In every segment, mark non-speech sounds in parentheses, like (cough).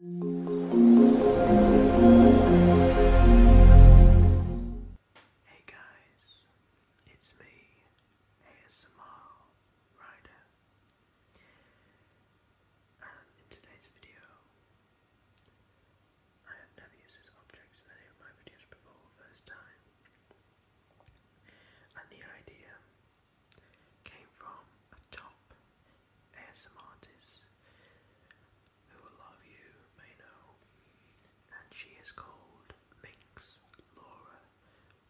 Hey guys, it's me, ASMR Rider, and in today's video, I have never used this in any of my videos before, first time, and the idea came from a top ASM artists who a lot you may know, and she is called Minx Laura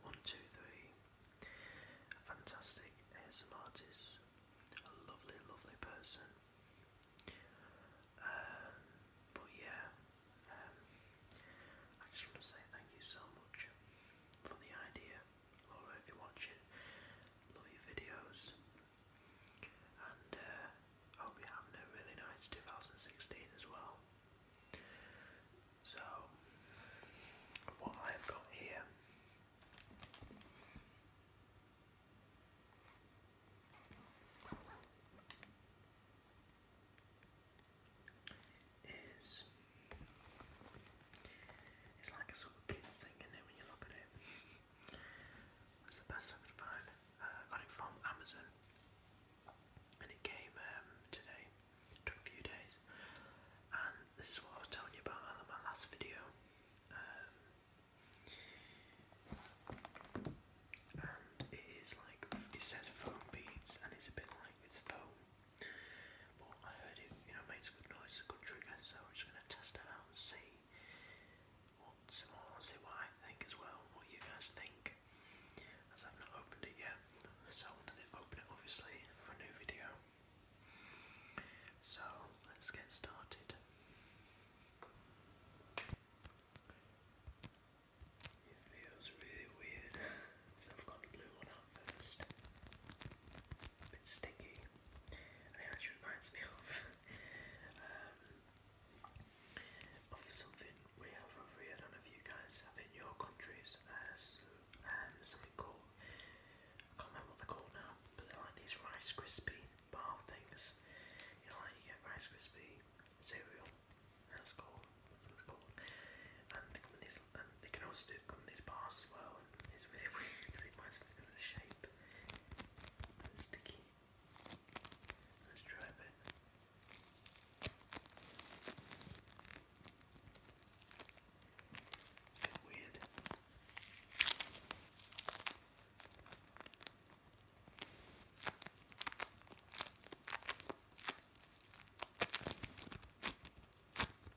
123. A fantastic ASM artist, a lovely, lovely person. Um, but yeah, um, I just want to say thank you so much for the idea Laura, if you're watching, love your videos. And uh, I hope you're a really nice 2016 as well. So, what I've got here is it's like a sort of kid singing it when you look at it. That's the best uh, I could find. Uh, got it from Amazon, and it came um, today. took a few days, and this is what I was telling you about in my last video. Um, and it is like it says foam beads, and it's a bit like it's foam. But I heard it, you know, makes a good noise, a good trigger, so I'm just going to test it out and see what's see what I think as well, what you guys think, as I've not opened it yet. So I wanted to open it, obviously, for a new video. So let's get started. It feels really weird. (laughs) so I've got the blue one on first. A bit sticky. it actually reminds me of um, of something we have over here. I don't know if you guys have in your countries uh, um, something called I can't remember what they're now, but they're like these Rice Krispie bar things. You know, like you get Rice Krispie cereal. That's called they can also do it on these as well, it's really (laughs) weird because it reminds me because of the shape. sticky. Let's try a bit. weird.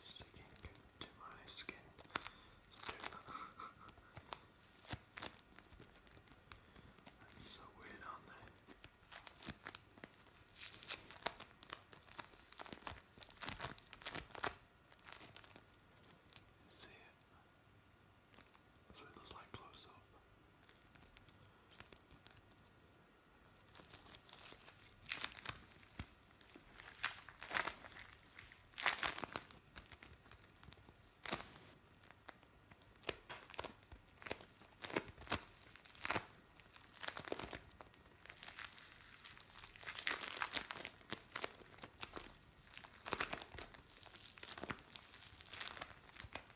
Sticking to my skin. so weird, aren't See it? That's what it looks like close up.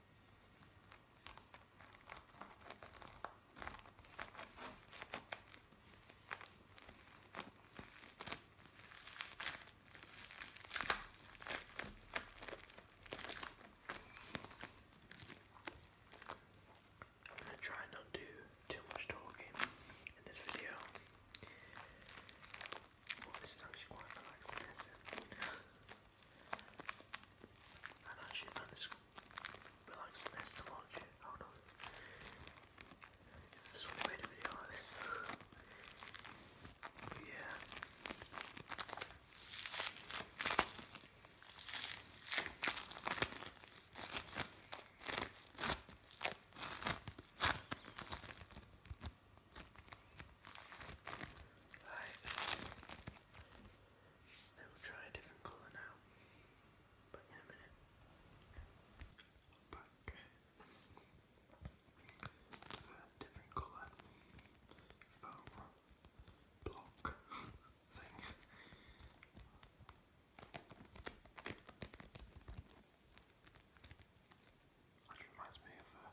I'm gonna try and not do too much talking in this video. Oh, this is actually quite relaxing, and actually, man, this relaxingness to watch. Oh no. So we made a video like this. but yeah. Right. Then we'll try a different colour now. But in a minute. Back. different colour block thing. That reminds me of uh,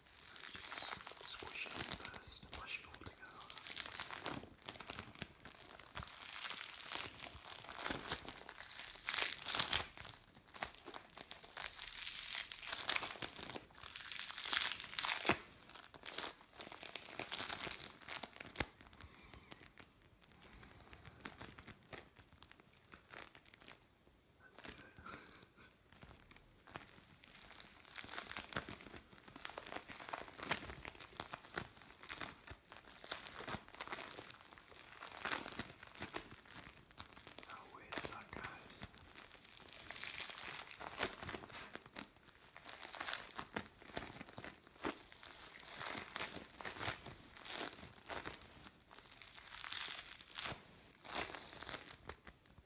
Just squish it in first and brush it all together. There no way, it's not guys.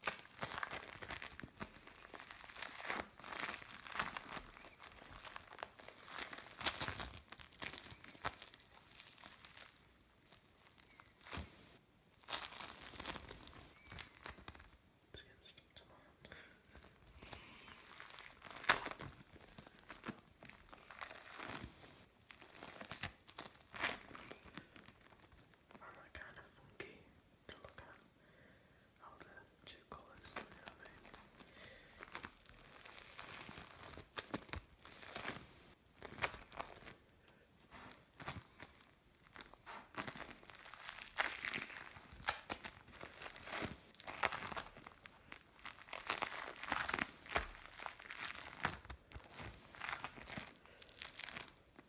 Just getting stuck to my hand. And that kind of funky to look at how the two colours, you know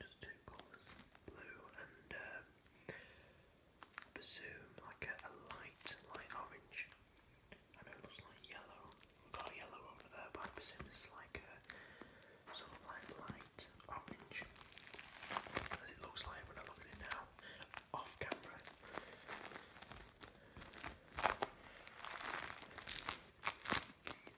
just two colours, blue and presume like a, light, light orange. I it looks like yellow. got yellow over there, but I presume it's like a sort of like light orange, as it looks like when I look at it now, off camera.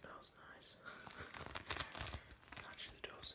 Smells nice. (laughs) Actually does.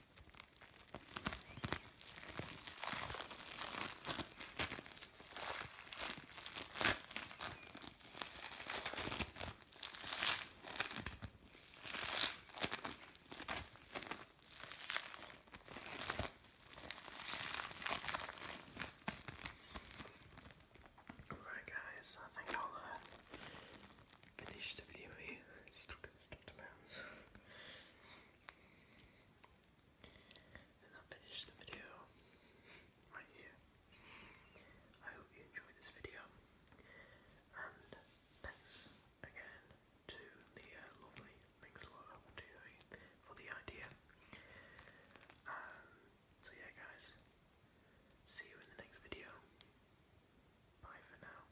Alright guys, I think I'll uh, finish the video here. It's stuck, stuck to and I'll finish the video right here. I hope you enjoyed this video. And thanks again to the uh, lovely minxlore for the idea. so yeah guys, see you in the next video. Bye for now.